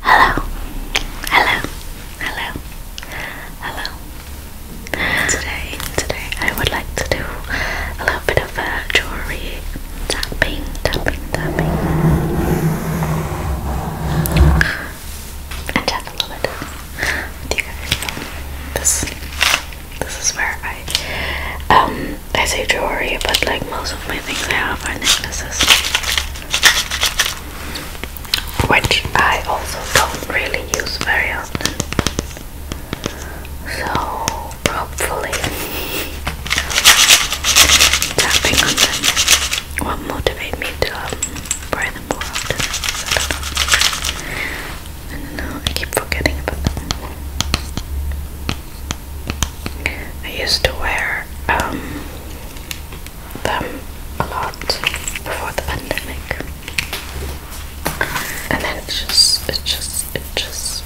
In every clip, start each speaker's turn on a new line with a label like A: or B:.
A: Hello, hello, hello, hello. Today, today I would like to do a little bit of uh, jewelry tapping, tapping, tapping, and chat a little bit with you guys. This, this is where I, um, I say jewelry, but like most of my things I have are necklaces which I also don't really use very often. So, hopefully, tapping on them will motivate me to um, buy them more I don't know, I keep forgetting about them. I used to wear um, them a lot before the pandemic. And then it just it just it just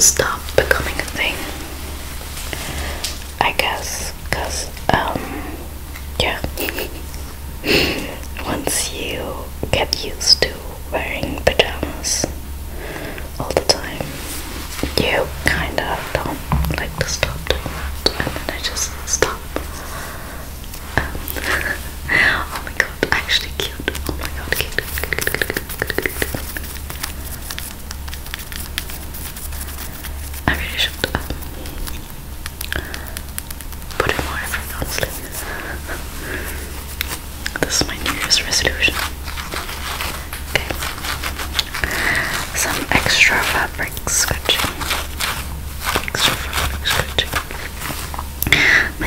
A: stopped becoming a thing. I guess because um yeah once you get used to wearing pajamas all the time, you kind of don't like to stop doing that, and then I just stop. Um, oh my god, actually cute. Oh my god, cute. I really should um, put in more effort, this is my New resolution. Okay. Some extra fabric scratching. Extra fabric scratching.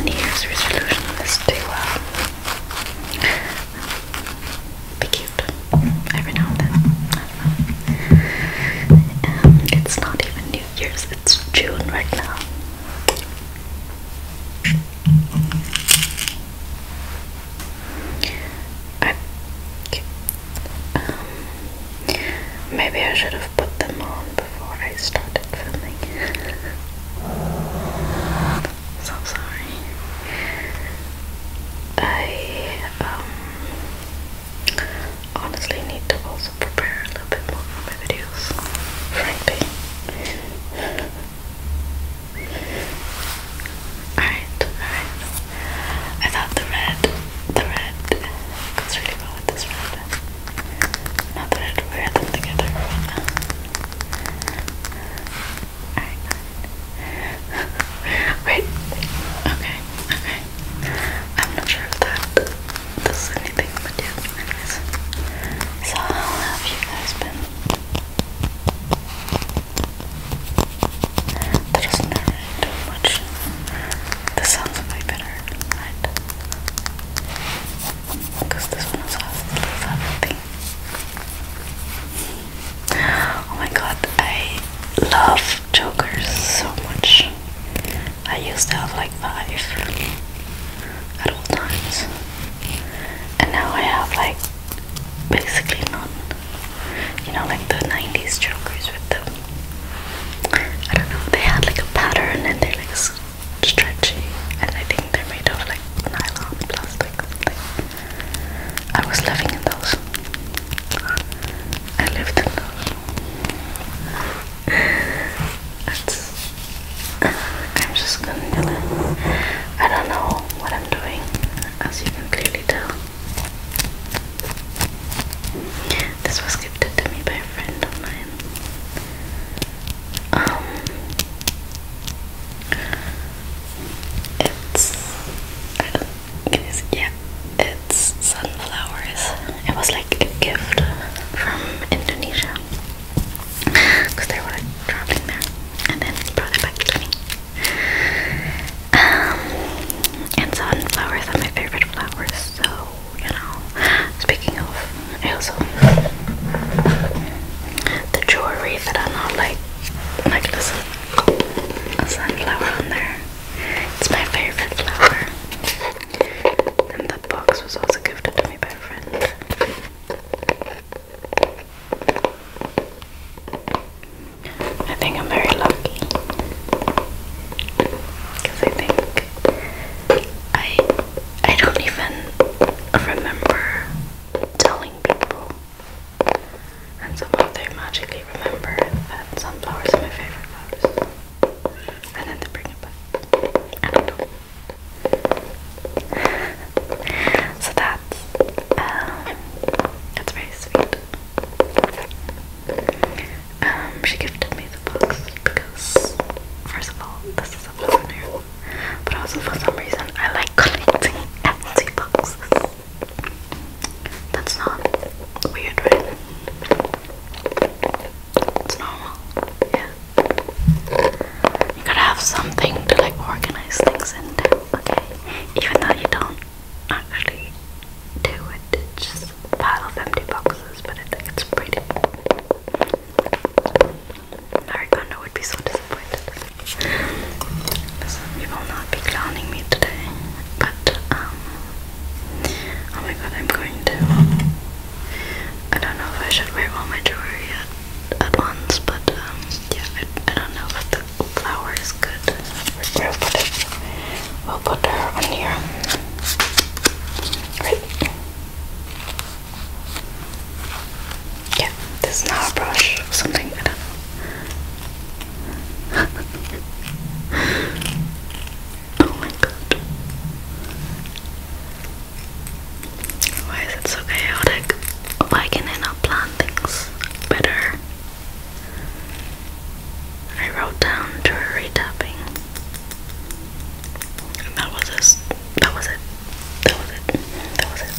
A: New Year's resolution is to uh, be cute every now and then. Um, it's not even New Year's, it's June right now. Okay. Um, maybe I should have put them on before I started filming. so sorry. I um, honestly need to also prepare a little bit more for my videos, frankly. Alright, I thought the red, the red goes really well with this red. Not that I'd wear them together uh, Alright, Wait, okay, okay. I'm not sure if that does anything, but yeah, So, how have you guys been? That not much. This sounds way better, right? Because this one also has the little Oh my god, I love jokers so much. I used to have like five at all times. And now I have like basically none you know, like the 90s jokers with the, I don't know, they had like a pattern and they're like stretchy, and I think they're made of like nylon, plastic, I was living in those. I lived in those. I don't know what I'm doing as you can clearly tell. This was gifted to me by a friend of mine. Um, it's I don't it is yeah, it's sunflowers. It was like a gift from Indonesia because they were like traveling there, and then brought it back to me. Um, and sunflowers are my favorite flowers, so you know. Speaking of, also the jewelry that I'm not like necklace a sunflower on there. It's my favorite flower. And the box was also gifted to me by a friend. I think I'm very lucky because I think I I don't even remember telling people, and somehow they magically remember that sunflowers are my favorite flowers, and then they bring it back. I don't know. so that um, that's very sweet. Um, she gifted me the books because, first of all, this is a souvenir, but also for some reason I like collecting empty boxes. That's not weird, right? It's normal, yeah. You gotta have something to like organize things into, okay? Even though you don't actually do it. pile of empty boxes, but I think it's pretty. Narigana would be so disappointed. you will not be clowning me today, but um, oh my god, I'm going to. I don't know if I should wear all my jewelry at, at once, but um, yeah, I, don't know if the flower is good we'll put it. We'll put her on here. Right? Yeah, this is not a brush or something, oh my god. Why is it so chaotic? Why can I plan things better? I wrote down jewelry tapping. And that was this. That was it. That was it. That was it.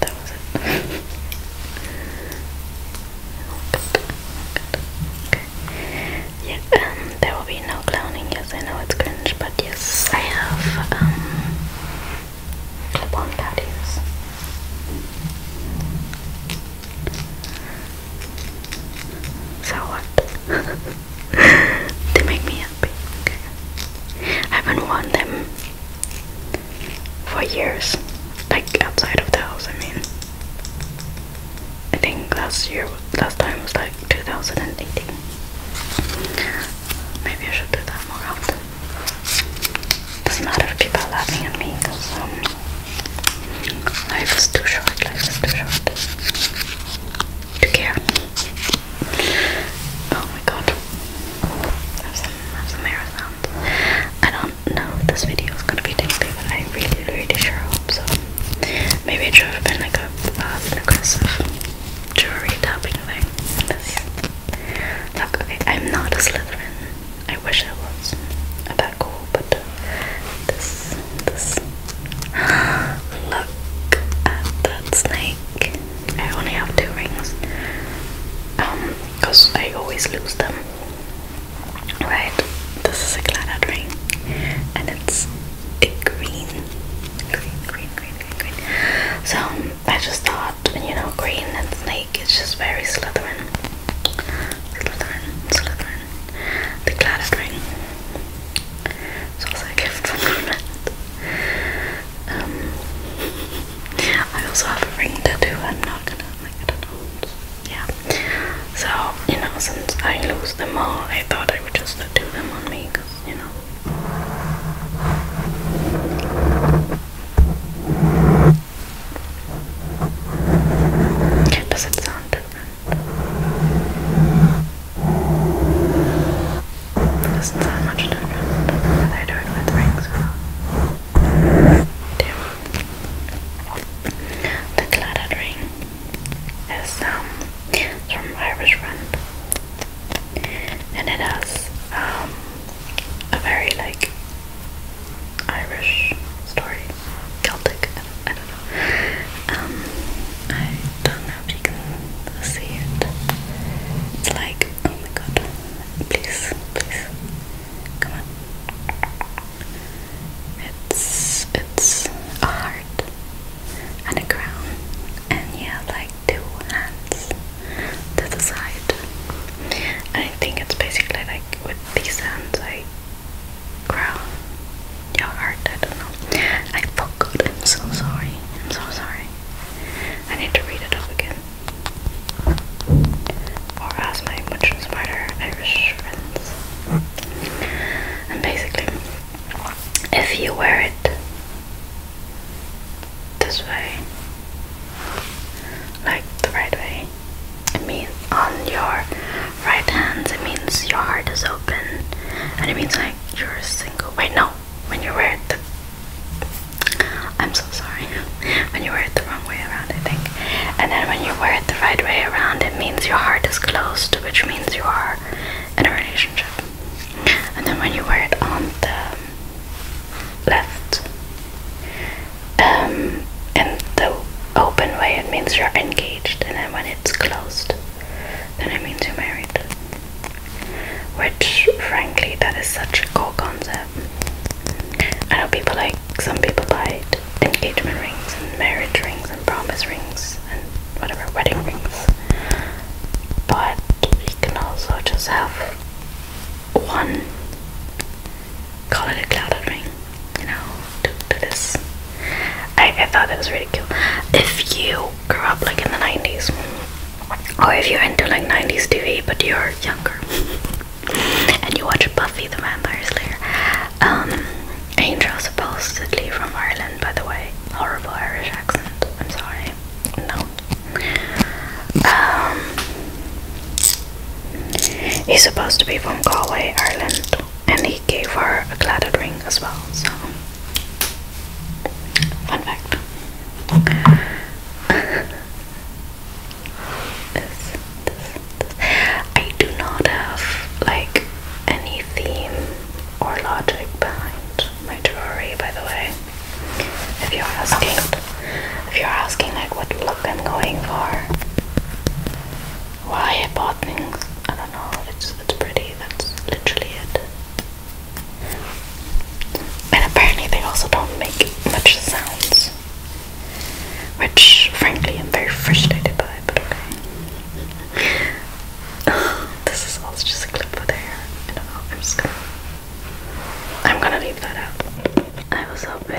A: That was it. Yeah, um, there will be no clowning. Yes, I know it's cringe, but yes, I have um clip-on patties. So what? they make me happy. I haven't worn them for years. Like outside of the I mean. I think last year, last time was like 2018. Maybe I should do that more often. Doesn't matter if people are laughing at me because um, life is too short, life is too short to care. Oh my god. have some, have some air I don't know if this video is gonna be tingly, but I really, really sure hope so. Maybe it should have been like a uh, um, an aggressive jewelry tapping thing okay, I'm not a Slytherin. I wish I was. A bad goal, but this, this. Look at that snake. I only have two rings. Um, because I always lose them. Right, this is a Clannad ring, and it's a green, green, green, green, green, green. So I just thought and you know, green and snake, it's just very Slytherin. Slytherin, Slytherin. The gladdest It's also a gift from my Um, I also have a ring tattoo, I'm not gonna, like, I do Yeah. So, you know, since I lose them all, I thought I would just tattoo them on me, you know. Does it sound different? doesn't sound much different whether I do it with rings or Damn. The clattered ring is um, from Irish Friend and it has um, a very like Irish story, Celtic. I don't know. Um, I don't know if you can see it. It's like, oh my god, please, please, come on. It's it's a heart and a crown, and yeah, like two hands to the side. And I think it's basically like with these hands I ground your heart, I don't know. I forgot, I'm so sorry. I'm so sorry. I need to read it up again. Or ask my much smarter Irish friends. And basically, if you wear it this way, like the right way. It means on your right hand, it means your heart is open, and it means like you're single. Wait, no, when you wear it I'm so sorry. When you wear it the wrong way around, I think. And then when you wear it the right way around, it means your heart is closed, which means you are in a relationship. And then when you wear it on the left um, in the open way, it means you're engaged, and then when it's closed, then it means you're married. Which, frankly, that is such a cool concept. I know people like some people buy engagement rings and marriage rings and promise rings and whatever wedding rings, but you can also just have one call it a clouded ring, you know, to, this. I, I thought that was really cute. If you grew up like in the 90s, or if you're into like 90s TV but you're younger, and you watch Buffy the Vampire Slayer, um, Angel supposedly from Ireland, by the way, horrible Irish accent, I'm sorry, no, um, he's supposed to be from Galway, Ireland, and he gave her a gladded ring as well. So, fun fact. this, this, this. I do not have like any theme or logic behind my jewelry, by the way. If you're asking if you're asking like what look I'm going for, why I bought things, I don't know, it's, it's pretty, that's literally it. And apparently they also don't make much sounds, which frankly I'm very frustrated by, but okay. this is also just a clip for there. I don't know, I'm gonna leave that out. I was hoping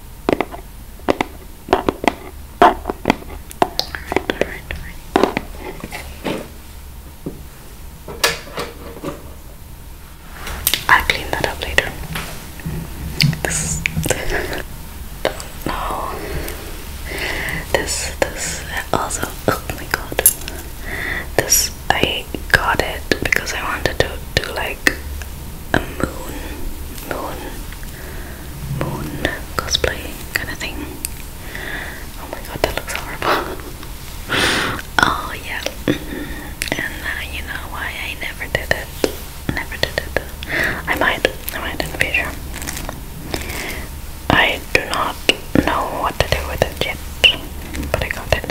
A: I'll clean that up later. This no. This this also oh my god. This I got it because I wanted to do like a moon moon moon cosplay kind of thing. Oh my god, that looks horrible. oh yeah, and uh, you know why I never did it. Never did it. I might, I might in the future. I do not know what to do with it yet, but I got it.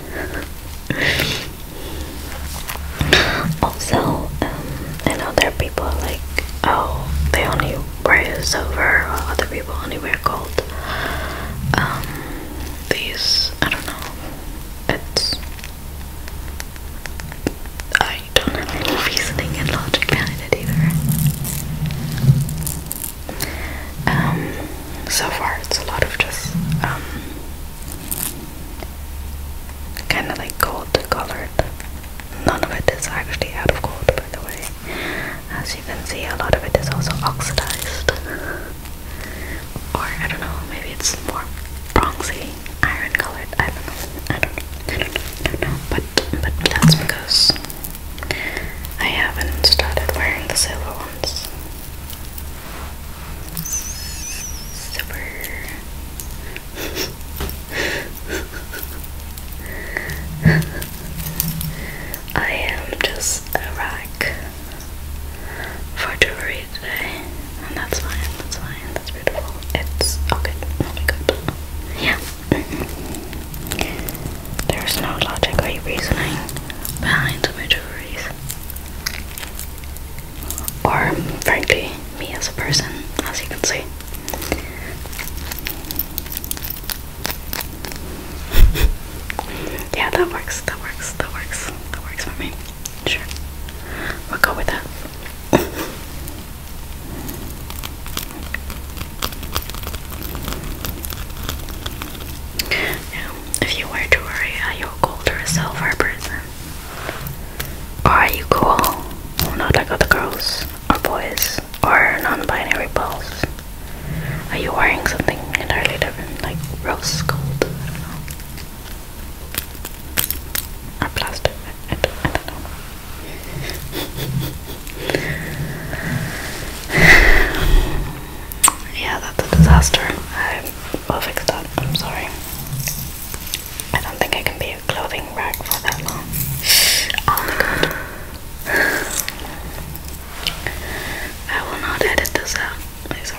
A: also, um, I know there are people like, oh, they only wear silver, or other people only wear gold. Um, these, I don't know. It's. I don't have any reasoning and logic behind it either. Um, so far, it's a lot of just, um, kind of like gold colored None of it is actually out of gold, by the way. As you can see, a lot of it is also oxidized. Or, I don't know, maybe it's more bronzy, iron colored. I don't know. I don't know. But, but that's because I haven't started wearing the silver ones. I am just a rack for jewelry and that's fine, that's fine, that's beautiful. It's okay, really good. Yeah. There's no logic or reasoning behind my jewelry. Or, frankly, me as a person, as you can see. yeah, that works, that works, that works, that works for me. Sure. We'll go with that. now, if you were to worry, are you a gold or a silver person? Are you cool? Not like other girls or boys or non-binary balls. Are you wearing something entirely different, like rose gold? I don't know. Or plastic? I don't know. yeah, that's a disaster. I will fix that. I'm sorry. I don't think I can be clothing rack for that long. Oh my god. I will not edit this out. It's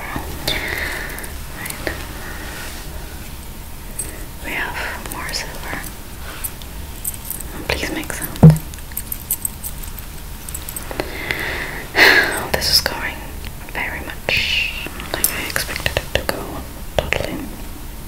A: We have more silver. Please make sound. This is going very much like I expected it to go, totally.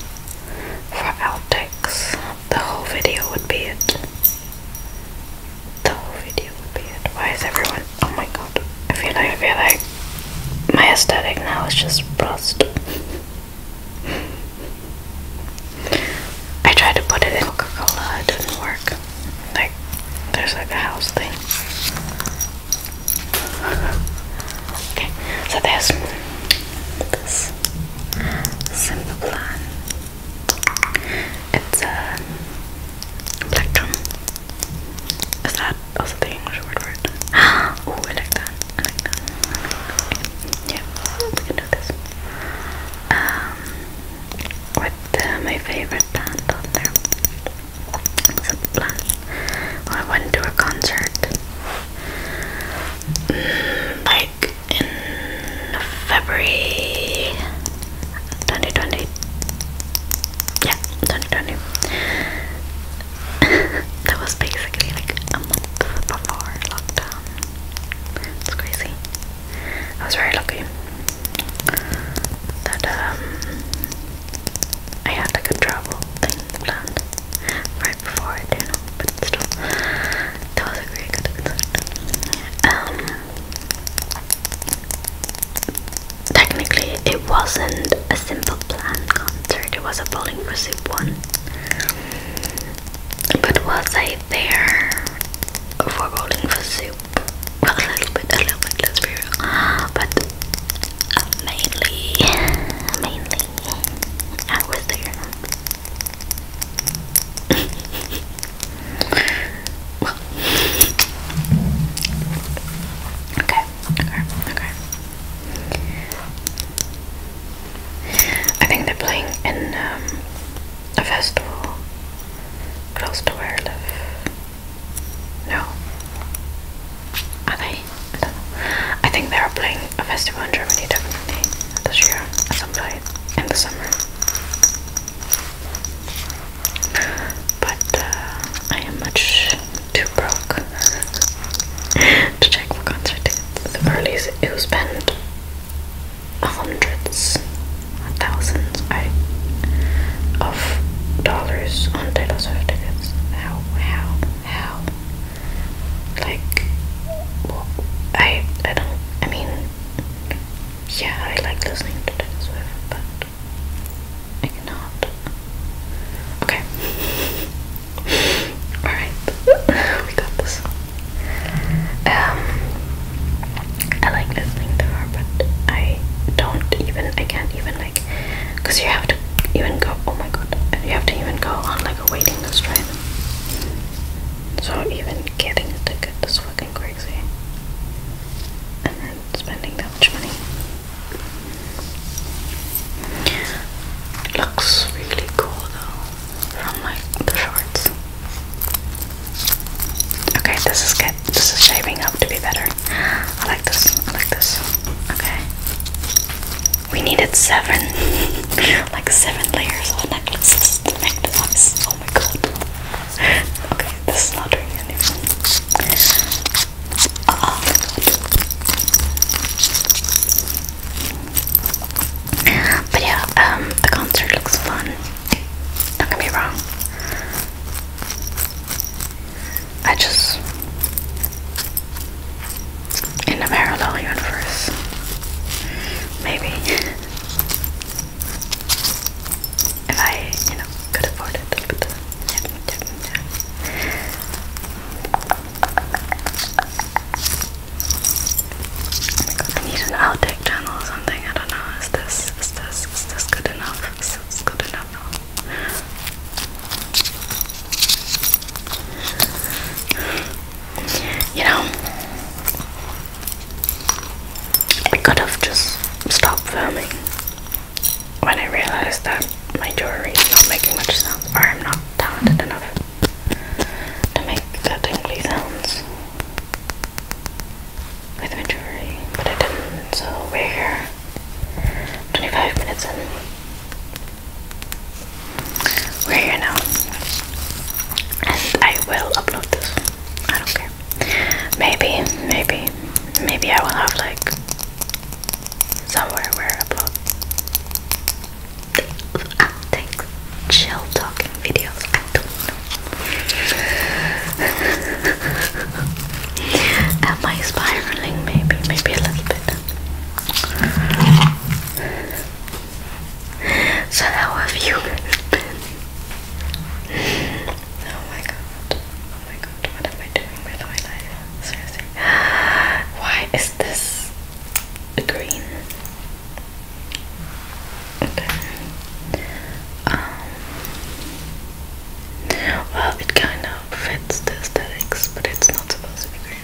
A: for outtakes. The whole video would be it. The whole video would be it. Why is everyone? Oh my god! I feel like I feel like my aesthetic now is just bust. I tried to put it in Coca Cola, it didn't work. Like, there's like a house thing. Okay, so there's this simple plan. It's a Is that also the English word for it? oh, I like that. I like that. do this. Um, with uh, my favorite band on there. It's plan. I went to a concert like in February 2020. Yeah, 2020. that was basically like a month before lockdown. It's crazy. I was very lucky that um I had a travel thing right before but still, that was a really concert. Um, technically, it wasn't a simple plan concert, it was a bowling for soup one. But was I there for bowling for soup? Well, a little bit, a little bit, let's be real. But uh, mainly, mainly I was there. Okay, okay, okay. I think they're playing in um, a festival close to where I live. No. I don't know. I think they are playing a festival in Germany definitely this year at in the summer. But uh, I am much too broke to check for concert tickets. Or at it was spent hundreds, thousands I, of dollars on Taylor Swift tickets. How, how, how, like I I don't I mean yeah I like listening to Taylor Swift but I cannot okay alright we got this um I like listening to her but I don't even I can't even like because you have to even go oh my god you have to even go on like a waiting list right so even getting a ticket is fucking crazy and then spending that much money looks really cool though from like the shorts okay this is good this is shaping up to be better I like this I like this okay we needed seven, like seven layers of necklaces Oh my god. Okay, this is not doing anything. Oh but yeah, um, the concert looks fun. Don't get me wrong. I just in the parallel universe. Maybe. if I, you know, could afford it. Oh my god, I need an outtake channel or something. I don't know. Is this is this is this good enough? Is this good enough? You know, I could have just stopped filming when I realized that my jewelry is not making much sound, or I'm not talented enough to make the tingly sounds with my jewelry, but I didn't, so we're here 25 minutes in. We're here now. And I will upload this. I don't care. Maybe, maybe, maybe I will have like somewhere where I upload thanks. Chill talking videos. I don't know. Am I spiraling? Maybe, maybe a little bit so how have you been? Oh my god. Oh my god. What am I doing with my life? Seriously. Why is this green? Okay. Um. Well, it kind of fits the aesthetics, but it's not supposed to be green.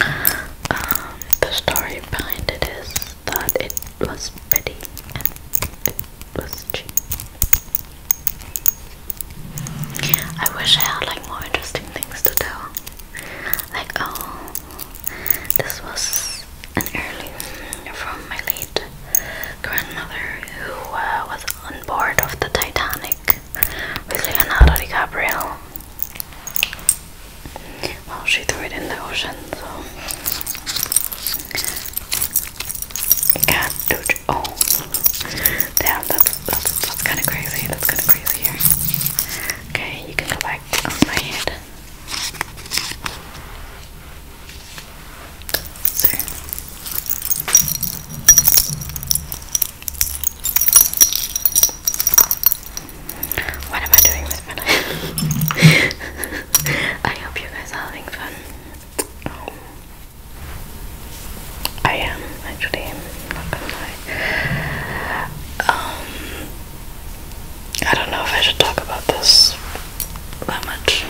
A: Um, the story behind it is that it was pretty and it was cheap. I wish I had like more interesting things to tell. Like, oh, this was an heirloom from my late grandmother who uh, was on board of the Titanic with Leonardo DiCaprio. Well, oh, she threw it in the ocean, so. Cartouche. Oh. Damn, that's, that's, kind of crazy. That's kind of crazy Okay, you can go on my head. So. What am I doing with my life? I hope you guys are having fun. I am actually, i not gonna lie. Um, I don't know if I should talk about this that much.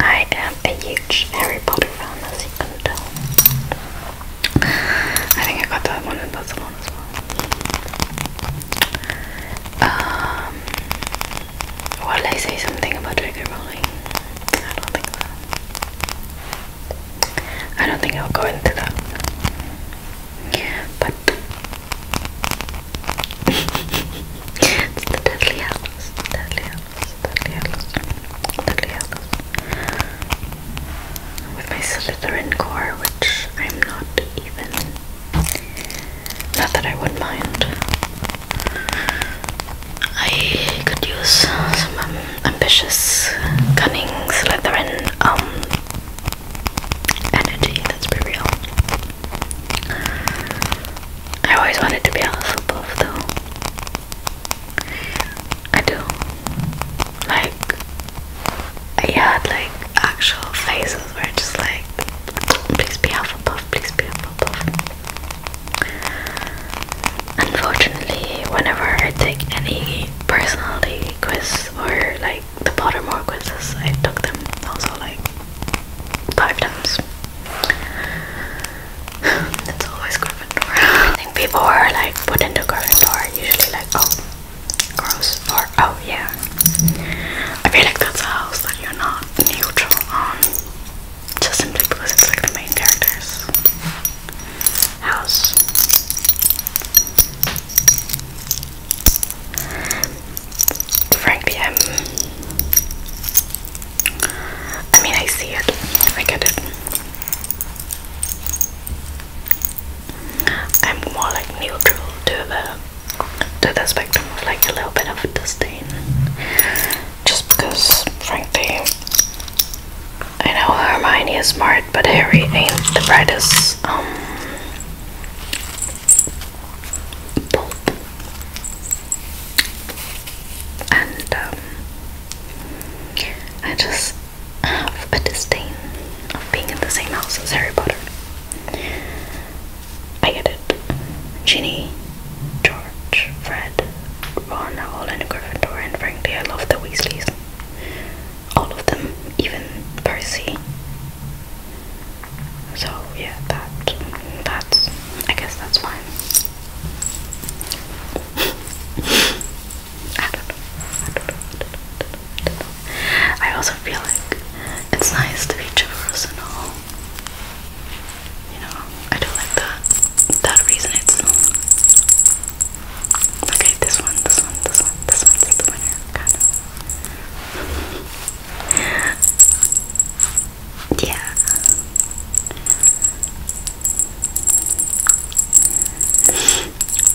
A: I am a huge Harry Potter fan, as you can tell. I think I got that one in Barcelona Um, what did I say something about trigger rolling? I don't think so. I don't think I'll go into that. But it's the deadly house, deadly house, deadly house, deadly with my Slytherin core, which I'm not even. Not that I would mind. I could use some um, ambitious, cunning Slytherin um energy. Let's be real. I always wanted to be on the Hufflepuff, though. I do. Like, I had like actual faces where just like, please be Alpha Puff, please be Alpha Puff. Unfortunately, whenever I take any personality quizzes or like the Pottermore quizzes, I took them also like five times. it's always Gryffindor. I think people who are like put into Gryffindor are usually like, oh, Gross. Or oh yeah. I feel like that's a house that you're not neutral on. Just simply because it's like the main character's house. Frank i um, I mean, I see it. I get it. I'm more like neutral to the to the spectrum of like a little bit of disdain, just because frankly I know Hermione is smart, but Harry ain't the brightest um And um, I just have a disdain of being in the same house as Harry Potter. I get it. Ginny, George, Fred, Ron all in Gryffindor, and frankly, I love the Weasleys. All of them, even Percy. So yeah, that that's I guess that's fine. I don't know. I don't know. I don't know. I, also feel like it's nice to be personal. You know, I do like that. That resonates. Okay, this one, this one, this one, this one's the winner, yeah.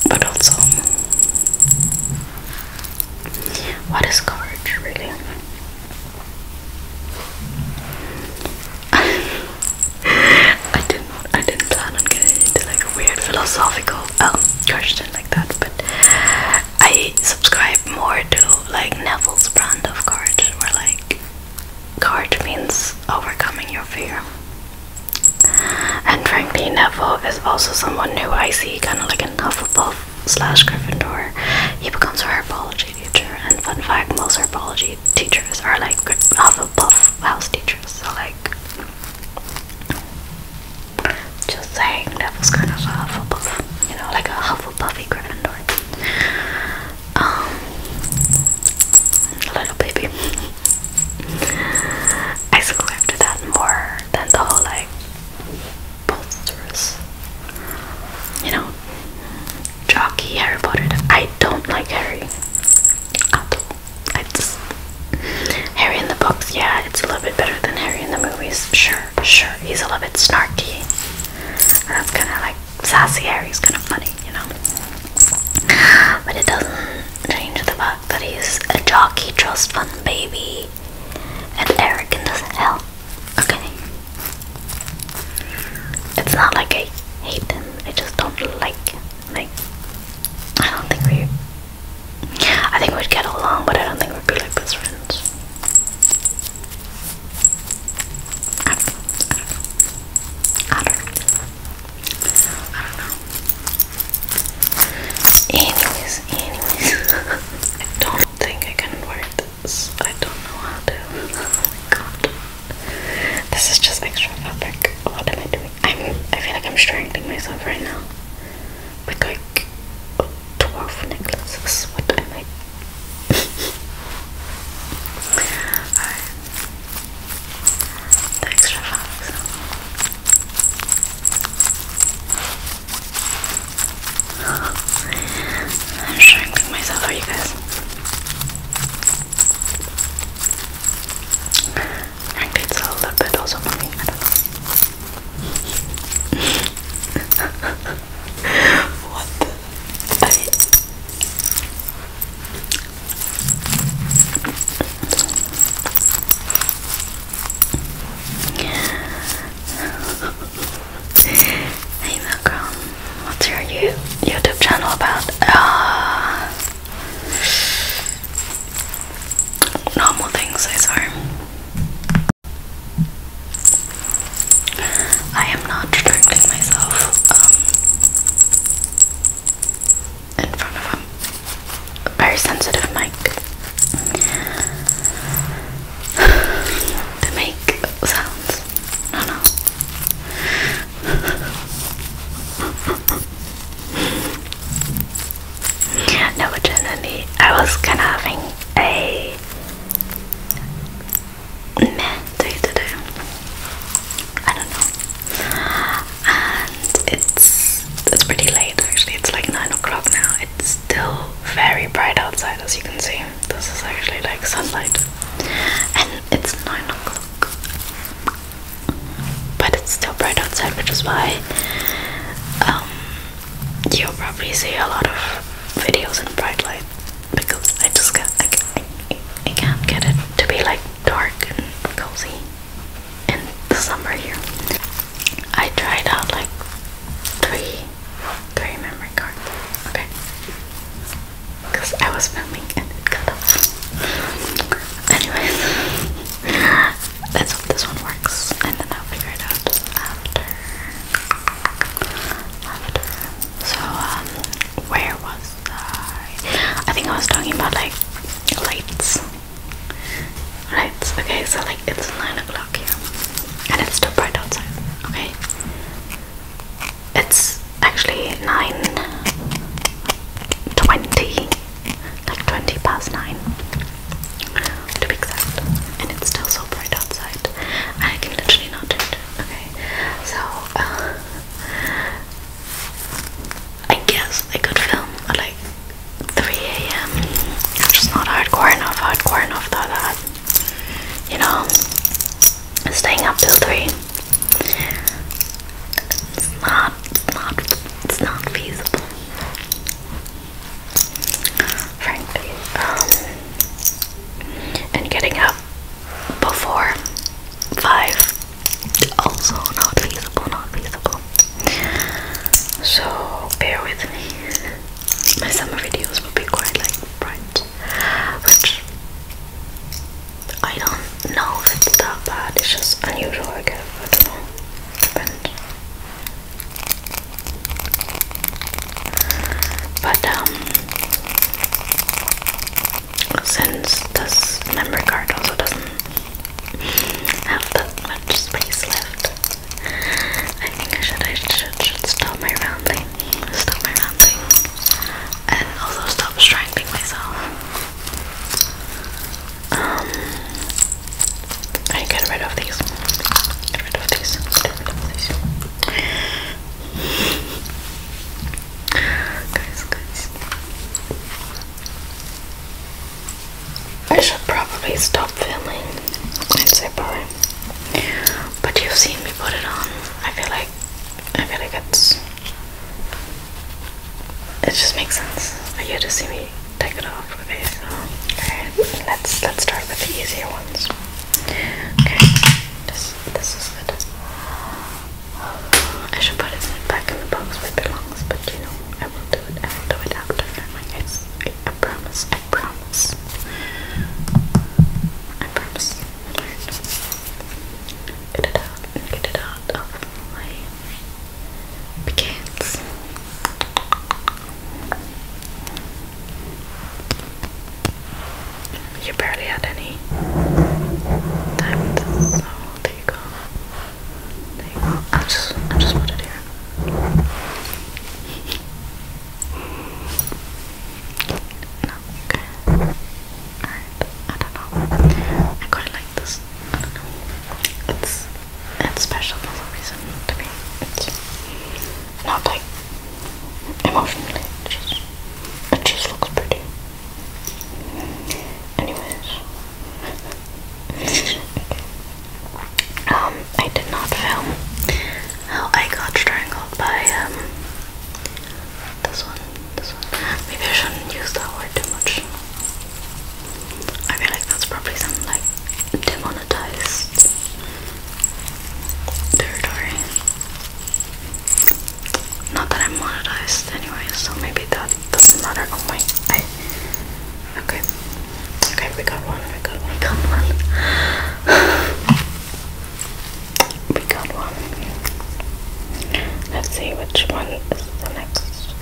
A: But also, what is courage really? I didn't I didn't plan on getting into like a weird philosophical um question like that, but I subscribe more to like Neville's brand of courage where like courage means overcoming your fear. And frankly, Neville is also someone who I see kind of like in Hufflepuff slash Gryffindor. He becomes a herbology teacher, and fun fact, most herbology teachers are like Hufflepuff house teachers. So like, just saying, Neville's kind of a Hufflepuff, you know, like a Hufflepuffy Gryffindor. Um, little baby. I subscribe to that more than the whole like posters. You know, jockey Harry Potter. I don't like Harry at all. I Harry in the books. Yeah, it's a little bit better than Harry in the movies. Sure, sure. He's a little bit snarky. that's kind of like sassy Harry's kind of funny, you know. But it doesn't change the vibe but he's a jockey trust fund baby and arrogant as hell. Okay. It's not like I hate him, I just don't like him. Like I don't think we I think we'd get along, but I don't think we'd be like best friends. I don't Anyways, anyways, I don't think I can wear this. I don't know how to. Oh my god. This is just extra fabric. What am I doing? I'm. I feel like I'm strangling myself right now. With like dwarf necklaces. What am I? Thanks, extra I'm shrinking myself for you guys. I think it's a bit also for what hey Malcolm, what's your YouTube channel about? Uh, normal things, I swear. I am not directing myself. Um, in front of him. very sensitive mic. to make sounds. No, no. no, but I was kind of having a meh day today. I don't know and it's it's pretty late actually. It's like nine o'clock now. It's still very bright outside, as you can see. This is actually like sunlight, and it's nine o'clock, but it's still bright outside, which is why um, you'll probably see a lot of videos in bright light because I just can't I can't get it to be like dark and cozy in the summer here. I tried out like three three memory cards. Okay. Because I was filming and it got off. Anyways, let's hope this one works and then I'll figure it out after. After. So, um, where was I? I think I was talking about like lights Right, okay, so like it's 9 o'clock here and it's still bright outside, okay? It's actually 9 20, like 20 past 9 to be exact, and it's still so bright outside. I can literally not do okay? So, uh, I guess I could film at like 3 a.m. It's just not hardcore enough, hardcore enough that, that you know, staying up till 3. It's not, not, it's not feasible. Frankly, um, and getting up before 5, also not feasible, not feasible so bear with me. My summer videos will be quite like bright, which I don't know if it's that bad, it's just unusual, I guess. I don't know, But, um, since this memory card also doesn't have that much space left. I think I should I should should stop my rounding. Stop my rounding. And also stop strangling myself. Um I get rid of these. Get rid of these. Get rid of these. guys, guys. I should probably stop filming and say bye. But you've seen me put it on. I feel like I feel like it's it just makes sense for you to see me take it off. Okay, so okay, let's let's start with the easier ones. Okay, this this is good. I should put it back in the box where it belongs, but you know. I will do it. I will do it after my guys. I, promise. I promise. I promise. Get it out. Get it out of my pecans. You barely had any time, so there you go. There you go. I just, just put it here. okay. Alright, I don't know. I got like this. I don't know. It's, it's special for some reason to me. It's not like emotionally. just, it just looks pretty. Anyways. Um, I did not film how I got strangled by um this one, this one. Maybe I shouldn't use that word too much. I feel like that's probably some like demonetized territory. Not that I'm monetized anyway, so maybe that doesn't matter. Oh my okay. Okay, we got one, we got one, we got one. we got one. Let's see which one is the next.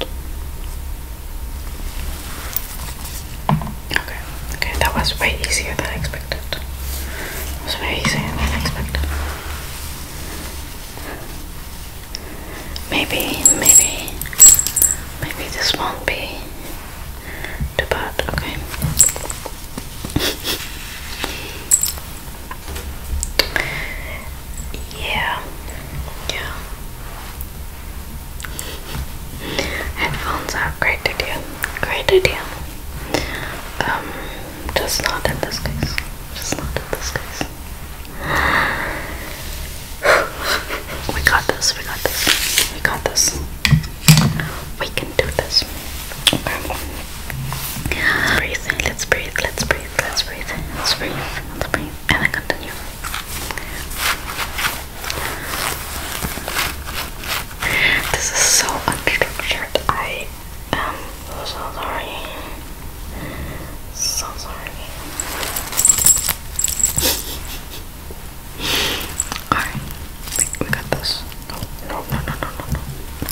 A: Okay, okay, that was way easier than expected. was way easier than expected. Maybe, maybe, maybe this won't be too bad, okay? yeah, yeah. Headphones are a great idea, great idea. Um, just not in this case, just not in this case. We got this, we got this, we got this. We can do this. Breathe, let's breathe, let's breathe, let's breathe, let's breathe, let's breathe, and then continue. This is so unstructured. I am so sorry. So sorry. Alright, we, got this. no, no, no, no, no,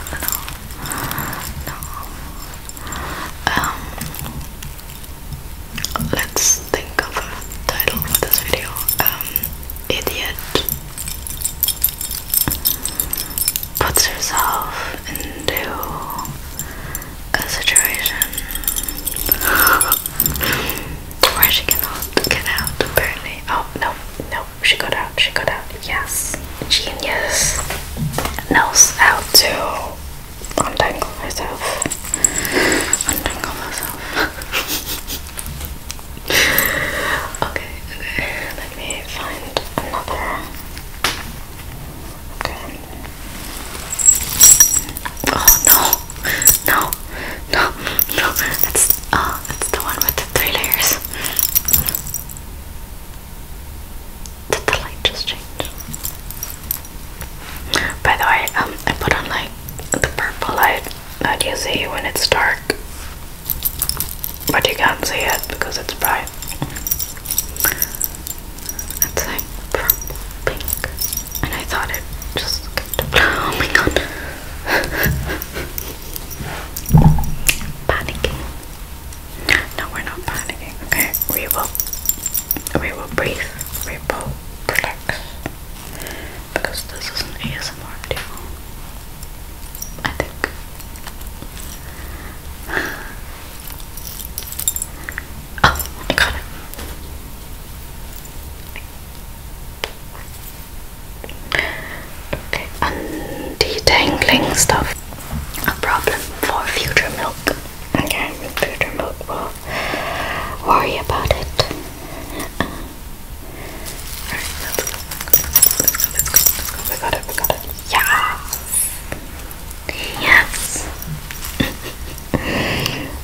A: no, no, no, no. Um, let's think of a title for this video. Um, idiot puts herself into a situation or she cannot get out, apparently. Oh, no, no, she got out, she got out. Yes, genius knows how to untangle herself. Untangle herself. okay, okay, let me find another. Okay. Oh no, no, no, no. It's oh, it's the one with the three layers. Did the light just change? By the way, um, I put on like the purple light that you see when it's dark, but you can't see it because it's bright. It's like purple pink. And I thought it just Oh my god. panicking. No, we're not panicking. Okay, we will we will breathe. We will relax. Because this is an ASMR video. I think. Oh, I got it. Okay, and detangling stuff, a problem for future milk. Okay, future milk will worry about it. We got it, we got it. Yes! Yes!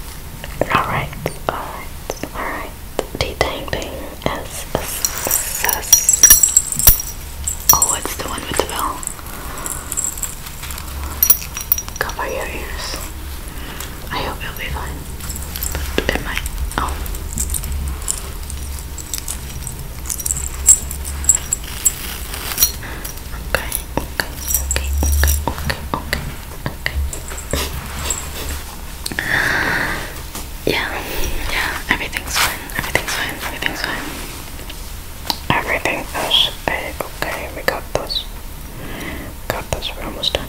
A: Alright, alright, alright. The dang ding is a success. Oh, it's the one with the bell. Cover your ears. I hope you'll be fine. it might. Oh. Okay, okay, okay, okay, okay, okay yeah, yeah, everything's fine, everything's fine, everything's fine. Everything is okay, okay, we got this. Got this, we're almost done.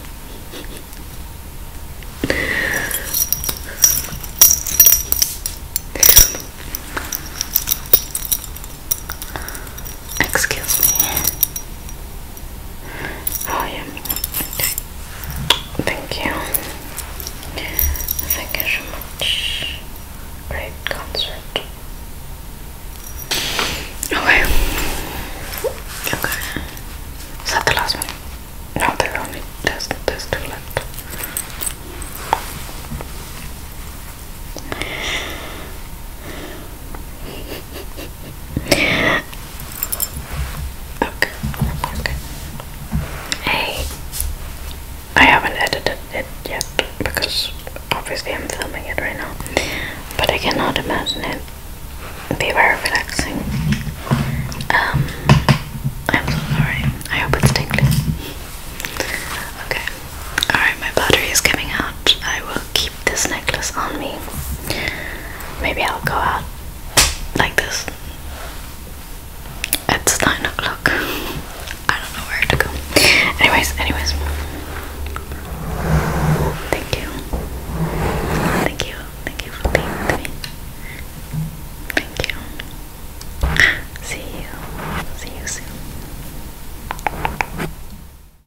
A: Excuse me. Oh yeah. Okay. Thank you. Thank you so much. Great concert. Okay. Okay. Is that the last one? No, there's only there's there's two left okay, okay. Hey, I haven't edited it yet because obviously I'm filming it right now, but I cannot imagine it be very relaxing. Um, I'm so sorry. I hope it's tingly. Okay. Alright, my battery is coming out. I will keep this necklace on me. Maybe I'll go out like this. It's nine o'clock. I don't know where to go. Anyways, anyways. Thank you. Thank you. Thank you for being with me. Thank you. See you. See you soon.